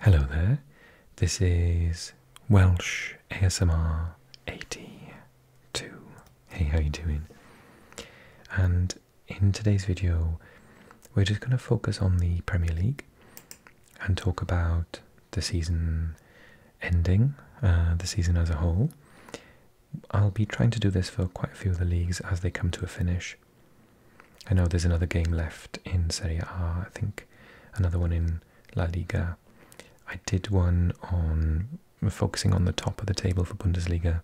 Hello there, this is Welsh ASMR 82. Hey, how you doing? And in today's video, we're just going to focus on the Premier League and talk about the season ending, uh, the season as a whole. I'll be trying to do this for quite a few of the leagues as they come to a finish, I know there's another game left in Serie A, I think another one in La Liga. I did one on focusing on the top of the table for Bundesliga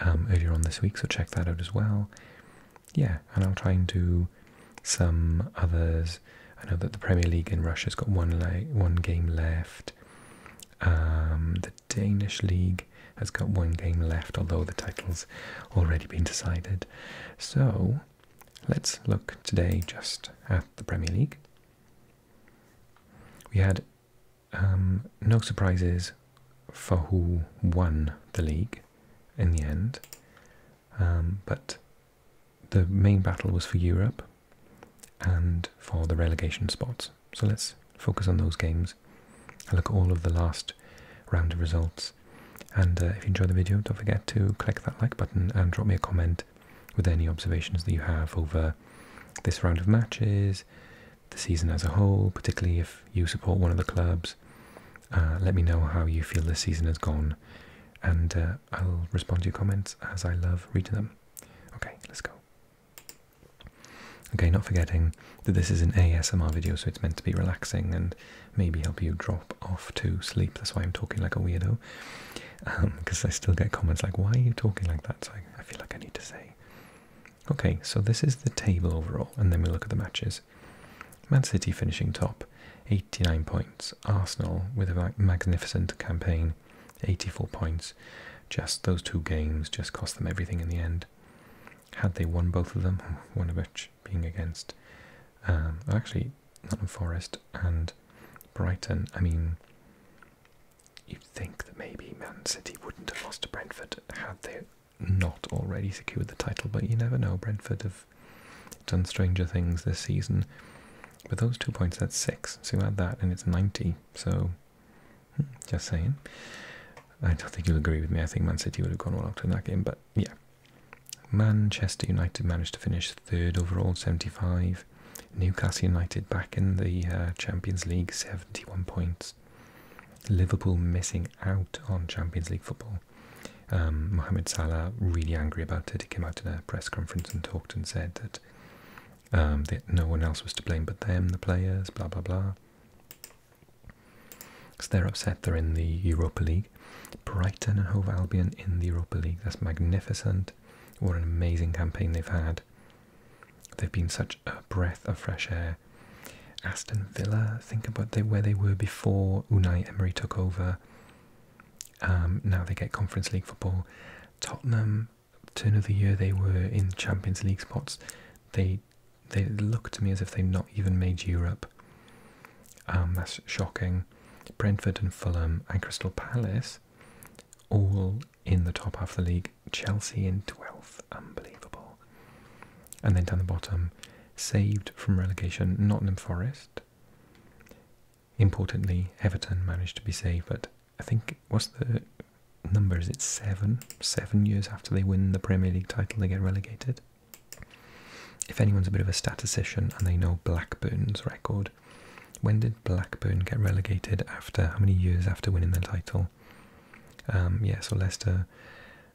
um, earlier on this week, so check that out as well. Yeah, and I'll try and do some others. I know that the Premier League in Russia's got one one game left. Um, the Danish league has got one game left, although the title's already been decided. So let's look today just at the Premier League. We had um, no surprises for who won the league in the end, um, but the main battle was for Europe and for the relegation spots. So let's focus on those games. I look at all of the last round of results and uh, if you enjoyed the video, don't forget to click that like button and drop me a comment with any observations that you have over this round of matches, the season as a whole, particularly if you support one of the clubs. Uh, let me know how you feel the season has gone, and uh, I'll respond to your comments as I love reading them. Okay, let's go. Okay, not forgetting that this is an ASMR video, so it's meant to be relaxing and maybe help you drop off to sleep. That's why I'm talking like a weirdo, because um, I still get comments like, "Why are you talking like that?" So I, I feel like I need to say. Okay, so this is the table overall, and then we look at the matches. Man City finishing top, 89 points. Arsenal with a magnificent campaign, 84 points. Just those two games just cost them everything in the end. Had they won both of them, one of which being against um, actually, not Nottingham Forest and Brighton. I mean, you'd think that maybe Man City wouldn't have lost to Brentford had they not already secured the title, but you never know. Brentford have done stranger things this season. But those two points, that's six. So you add that, and it's 90. So, hmm, just saying. I don't think you'll agree with me. I think Man City would have gone all out in that game, but yeah, Manchester United managed to finish third overall, 75. Newcastle United back in the uh, Champions League, 71 points. Liverpool missing out on Champions League football. Um, Mohamed Salah really angry about it. He came out in a press conference and talked and said that, um, that no one else was to blame but them, the players, blah blah blah. Because they're upset, they're in the Europa League. Brighton and Hove Albion in the Europa League. That's magnificent. What an amazing campaign they've had. They've been such a breath of fresh air. Aston Villa, think about where they were before Unai Emery took over. Um, now they get Conference League football. Tottenham, turn of the year, they were in Champions League spots. They they look to me as if they've not even made Europe. Um, that's shocking. Brentford and Fulham and Crystal Palace all in the top half of the league. Chelsea in 12th. Unbelievable. And then down the bottom, saved from relegation, Nottingham Forest. Importantly, Everton managed to be saved, but I think, what's the number? Is it seven? Seven years after they win the Premier League title, they get relegated. If anyone's a bit of a statistician and they know Blackburn's record, when did Blackburn get relegated after how many years after winning the title? Um, yeah, so Leicester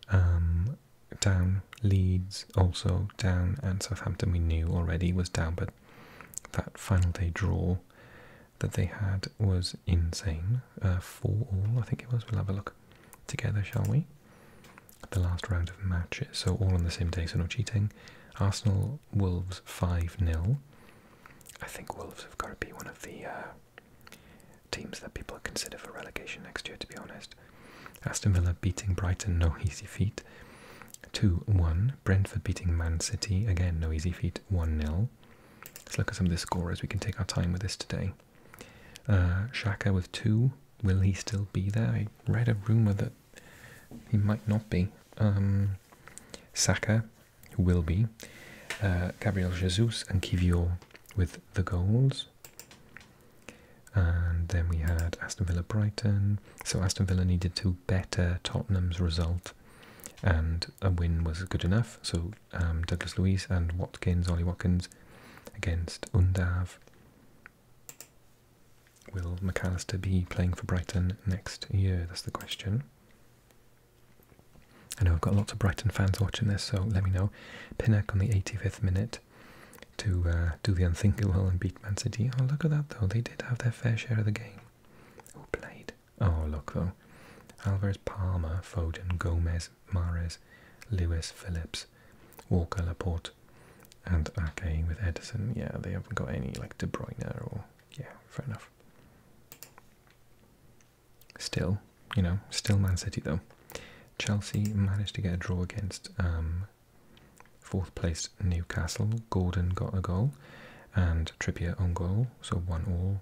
um, down, Leeds also down, and Southampton we knew already was down, but that final day draw that they had was insane. Uh, four all, I think it was. We'll have a look together, shall we? the last round of matches, so all on the same day, so no cheating. Arsenal Wolves 5 0. I think Wolves have got to be one of the uh, teams that people consider for relegation next year, to be honest. Aston Villa beating Brighton, no easy feat. 2 1. Brentford beating Man City, again, no easy feat, 1 0. Let's look at some of the scorers. We can take our time with this today. Uh, Shaka with two. Will he still be there? I read a rumor that he might not be. Um, Saka will be. Uh, Gabriel Jesus and Kivio with the goals. And then we had Aston Villa Brighton. So Aston Villa needed to better Tottenham's result. And a win was good enough. So um, Douglas Luiz and Watkins, Ollie Watkins against Undav. Will McAllister be playing for Brighton next year? That's the question. I know I've got lots of Brighton fans watching this, so let me know. Pinnock on the 85th minute to uh, do the unthinkable and beat Man City. Oh, look at that, though. They did have their fair share of the game. Who played? Oh, look, though. Alvarez, Palmer, Foden, Gomez, Mares, Lewis, Phillips. Walker, Laporte, and Ake with Edison. Yeah, they haven't got any like De Bruyne or yeah, fair enough. Still, you know, still Man City though. Chelsea managed to get a draw against um, fourth place Newcastle. Gordon got a goal and Trippier on goal, so one all.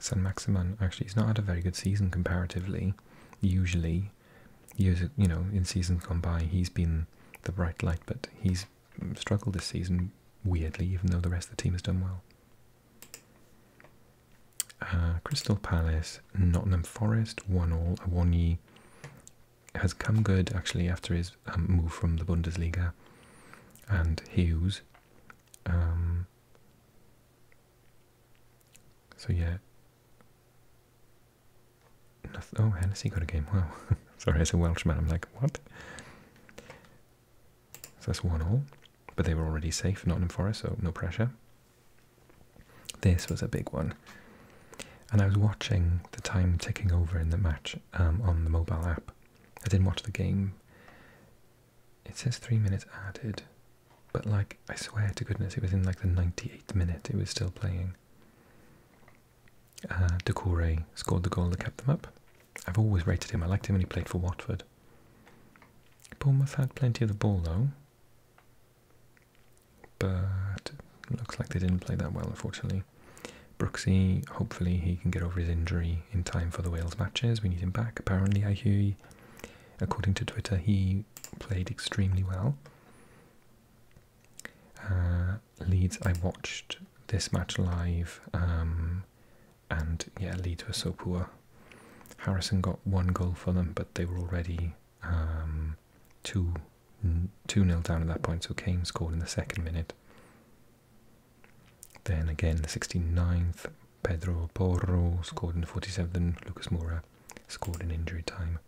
San Maximan actually he's not had a very good season comparatively. Usually years, you know, in seasons gone by, he's been the bright light, but he's struggled this season weirdly, even though the rest of the team has done well. Uh, Crystal Palace, Nottingham Forest, one all. Awonyi has come good actually after his um, move from the Bundesliga, and Hughes. Um, so yeah, Noth oh, Hennessy got a game. Wow. Sorry, as a Welshman, I'm like, what? So that's one all. But they were already safe, not Nottingham Forest, so no pressure. This was a big one. And I was watching the time ticking over in the match um, on the mobile app. I didn't watch the game. It says three minutes added. But like, I swear to goodness, it was in like the 98th minute, it was still playing. Uh, Decore scored the goal that kept them up. I've always rated him, I liked him when he played for Watford. Bournemouth had plenty of the ball though. But looks like they didn't play that well, unfortunately. Brooksy, hopefully he can get over his injury in time for the Wales matches. We need him back. Apparently, I hear, he, according to Twitter, he played extremely well. Uh, Leeds, I watched this match live, um, and yeah, Leeds were so poor. Harrison got one goal for them, but they were already um, two two nil down at that point. So Kane scored in the second minute. Then again, the 69th, Pedro Porro scored in the 47th, and Lucas Moura scored in injury time.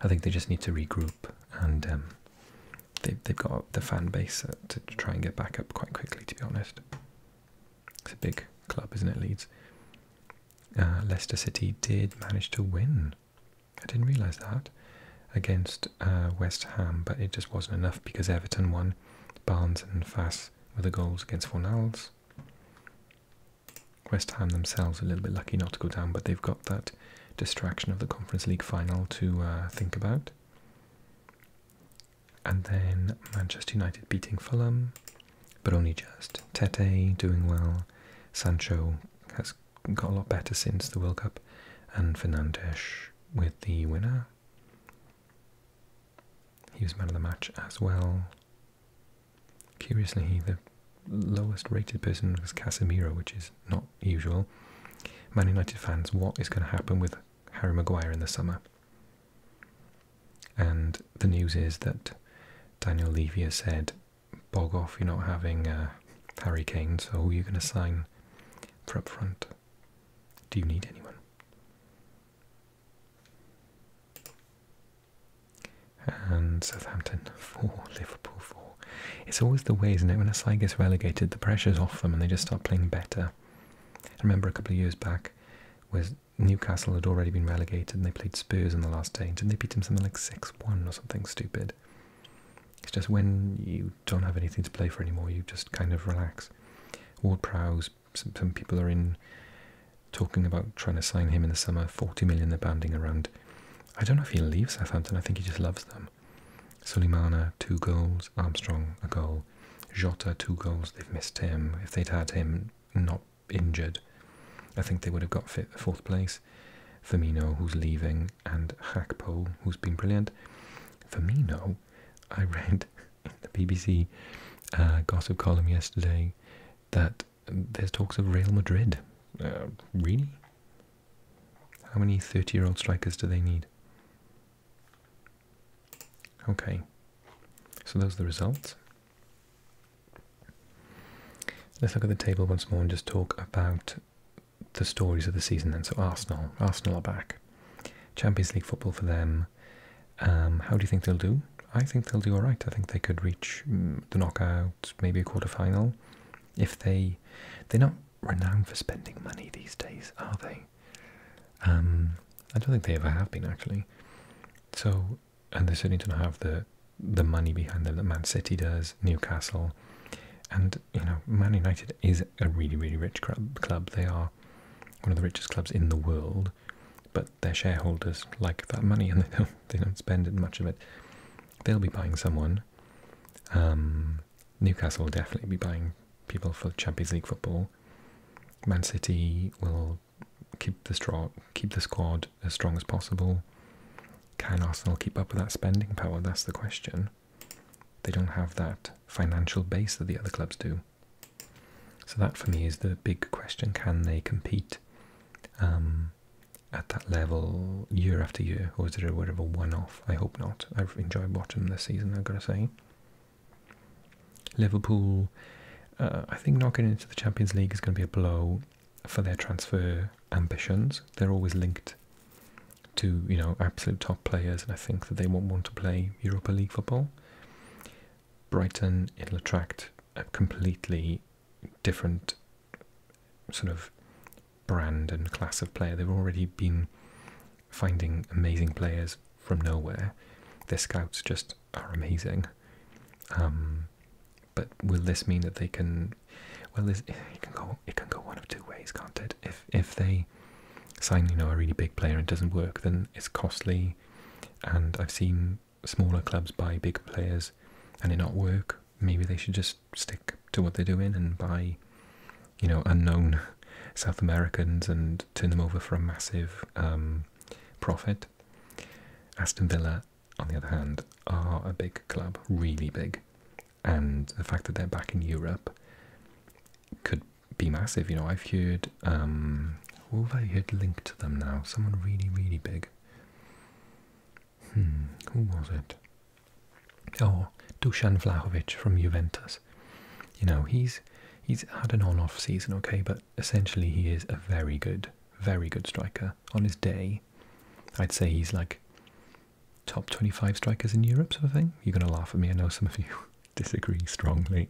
I think they just need to regroup, and um, they, they've got the fan base uh, to try and get back up quite quickly, to be honest. It's a big club, isn't it, Leeds? Uh, Leicester City did manage to win. I didn't realise that against uh, West Ham, but it just wasn't enough because Everton won. Barnes and Fass were the goals against Fornals. West Ham themselves a little bit lucky not to go down, but they've got that distraction of the Conference League final to uh, think about. And then Manchester United beating Fulham, but only just. Tete doing well. Sancho has got a lot better since the World Cup, and Fernandes with the winner. He was man of the match as well. Curiously, the lowest rated person was Casemiro, which is not usual. Man United fans, what is going to happen with Harry Maguire in the summer? And the news is that Daniel Levy has said, bog off, you're not having uh, Harry Kane, so who are you going to sign for up front? Do you need anyone? And Southampton 4, Liverpool 4. It's always the way, isn't it? When a side gets relegated, the pressure's off them and they just start playing better. I remember a couple of years back where Newcastle had already been relegated and they played Spurs in the last stage and they beat them something like 6 1 or something stupid. It's just when you don't have anything to play for anymore, you just kind of relax. Ward Prowse, some, people are in talking about trying to sign him in the summer. 40 million they're banding around. I don't know if he'll leave Southampton. I think he just loves them. Suleimana, two goals. Armstrong, a goal. Jota, two goals. They've missed him. If they'd had him not injured, I think they would have got fit fourth place. Firmino, who's leaving, and Hakpo, who's been brilliant. Firmino, I read the BBC uh, gossip column yesterday that there's talks of Real Madrid. really? How many 30 year old strikers do they need? Okay, so those are the results. Let's look at the table once more and just talk about the stories of the season then. So Arsenal, Arsenal are back. Champions League football for them. Um, how do you think they'll do? I think they'll do all right. I think they could reach mm, the knockout, maybe a quarter final, If they, they're not renowned for spending money these days, are they? Um, I don't think they ever have been actually. So, and they certainly don't have the the money behind them that Man City does, Newcastle, and you know Man United is a really really rich club. They are one of the richest clubs in the world, but their shareholders like that money and they don't they don't spend much of it. They'll be buying someone. Um, Newcastle will definitely be buying people for Champions League football. Man City will keep the straw keep the squad as strong as possible. Can Arsenal keep up with that spending power? That's the question. They don't have that financial base that the other clubs do. So that for me is the big question. Can they compete um, at that level year after year, or is it a bit of a one-off? I hope not. I've enjoyed watching this season, I've got to say. Liverpool, uh, I think knocking into the Champions League is going to be a blow for their transfer ambitions. They're always linked to, you know, absolute top players, and I think that they won't want to play Europa League football. Brighton, it'll attract completely different sort of brand and class of player. They've already been finding amazing players from nowhere. Their scouts just are amazing. Um, but will this mean that they can? Well, it can go. It can go one of two ways, can't it? If if they sign, you know, a really big player and it doesn't work, then it's costly. And I've seen smaller clubs buy big players and it not work, maybe they should just stick to what they're doing and buy, you know, unknown South Americans and turn them over for a massive um, profit. Aston Villa, on the other hand, are a big club, really big, and the fact that they're back in Europe could be massive. You know, I've heard, um, who oh, have I heard linked to them now? Someone really, really big. Hmm, who was it? Oh, Dusan Vlahovic from Juventus. You know, he's he's had an on-off season, okay, but essentially he is a very good, very good striker. On his day, I'd say he's like top 25 strikers in Europe sort of thing. You're going to laugh at me. I know some of you disagree strongly.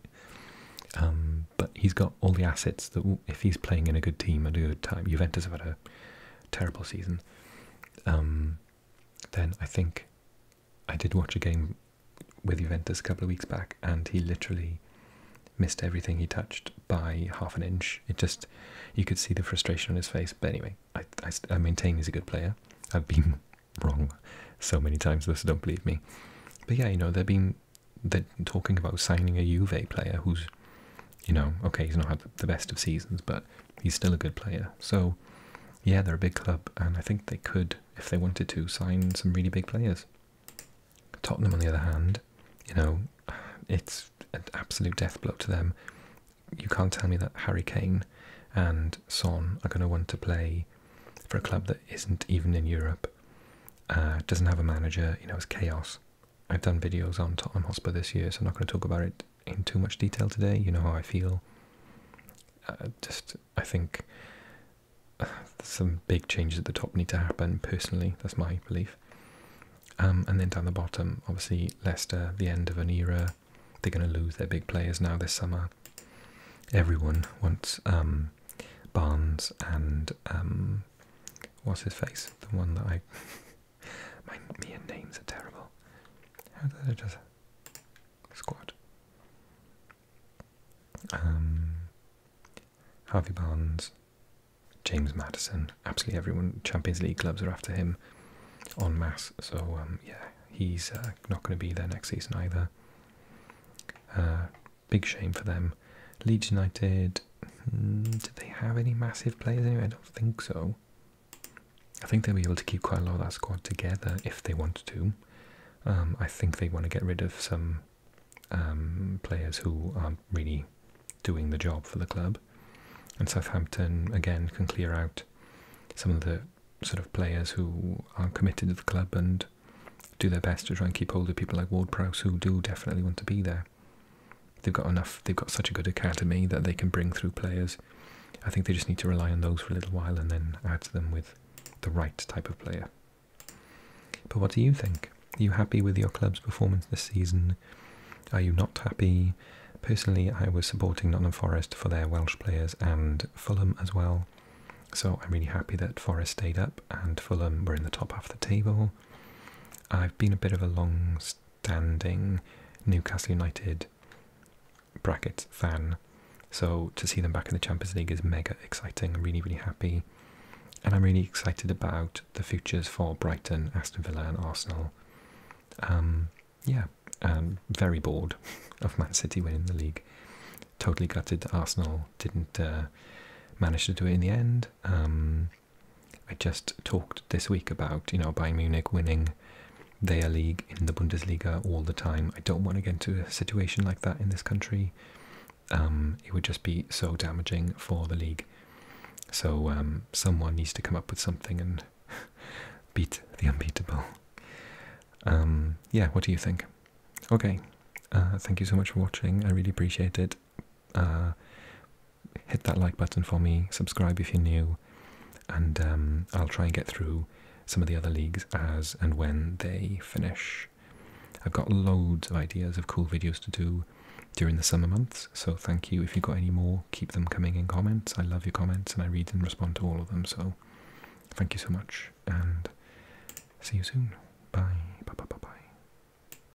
Um, but he's got all the assets that if he's playing in a good team and a good time, Juventus have had a terrible season. Um, then I think I did watch a game with Juventus a couple of weeks back, and he literally missed everything he touched by half an inch. It just you could see the frustration on his face. But anyway, I, I, maintain he's a good player. I've been wrong so many times, those don't believe me. But yeah, you know, they've been they're talking about signing a Juve player who's, you know, okay, he's not had the best of seasons, but he's still a good player. So, yeah, they're a big club, and I think they could, if they wanted to, sign some really big players. Tottenham, on the other hand, you know, it's an absolute death blow to them. You can't tell me that Harry Kane and Son are going to want to play for a club that isn't even in Europe, uh, doesn't have a manager, you know, it's chaos. I've done videos on Tottenham Hotspur this year, so I'm not going to talk about it in too much detail today. You know how I feel. Uh, just, I think uh, some big changes at the top need to happen, personally. That's my belief. Um, and then down the bottom, obviously, Leicester, the end of an era. They're going to lose their big players now this summer. Everyone wants um, Barnes and um, what's his face? The one that I, my me names are terrible. How did I just squad? Um, Harvey Barnes, James Madison, absolutely everyone. Champions League clubs are after him, en masse. So um, yeah, he's uh, not going to be there next season either. Uh, Big shame for them. Leeds United, hmm, did they have any massive players anyway? I don't think so. I think they'll be able to keep quite a lot of that squad together if they want to. Um, I think they want to get rid of some um, players who aren't really doing the job for the club. And Southampton, again, can clear out some of the sort of players who aren't committed to the club and do their best to try and keep hold of people like Ward Prowse, who do definitely want to be there. They've got enough. They've got such a good academy that they can bring through players. I think they just need to rely on those for a little while and then add them with the right type of player. But what do you think? Are you happy with your club's performance this season? Are you not happy? Personally, I was supporting Nottingham Forest for their Welsh players and Fulham as well. So I'm really happy that Forest stayed up and Fulham were in the top half of the table. I've been a bit of a long standing Newcastle United bracket fan, so to see them back in the Champions League is mega exciting. I'm really, really happy. And I'm really excited about the futures for Brighton, Aston Villa, and Arsenal. Um, yeah, very bored of Man City winning the league. Totally gutted Arsenal didn't uh, manage to do it in the end. Um, I just talked this week about, you know, Bayern Munich winning their league in the Bundesliga all the time. I don't want to get into a situation like that in this country. Um, it would just be so damaging for the league. So um, someone needs to come up with something and beat the unbeatable. Um, yeah, what do you think? Okay, uh, thank you so much for watching. I really appreciate it. Uh, hit that like button for me, subscribe if you're new, and um, I'll try and get through some of the other leagues as and when they finish. I've got loads of ideas of cool videos to do during the summer months, so thank you. If you've got any more, keep them coming in comments. I love your comments and I read and respond to all of them, so thank you so much and see you soon. Bye. Bye bye bye bye.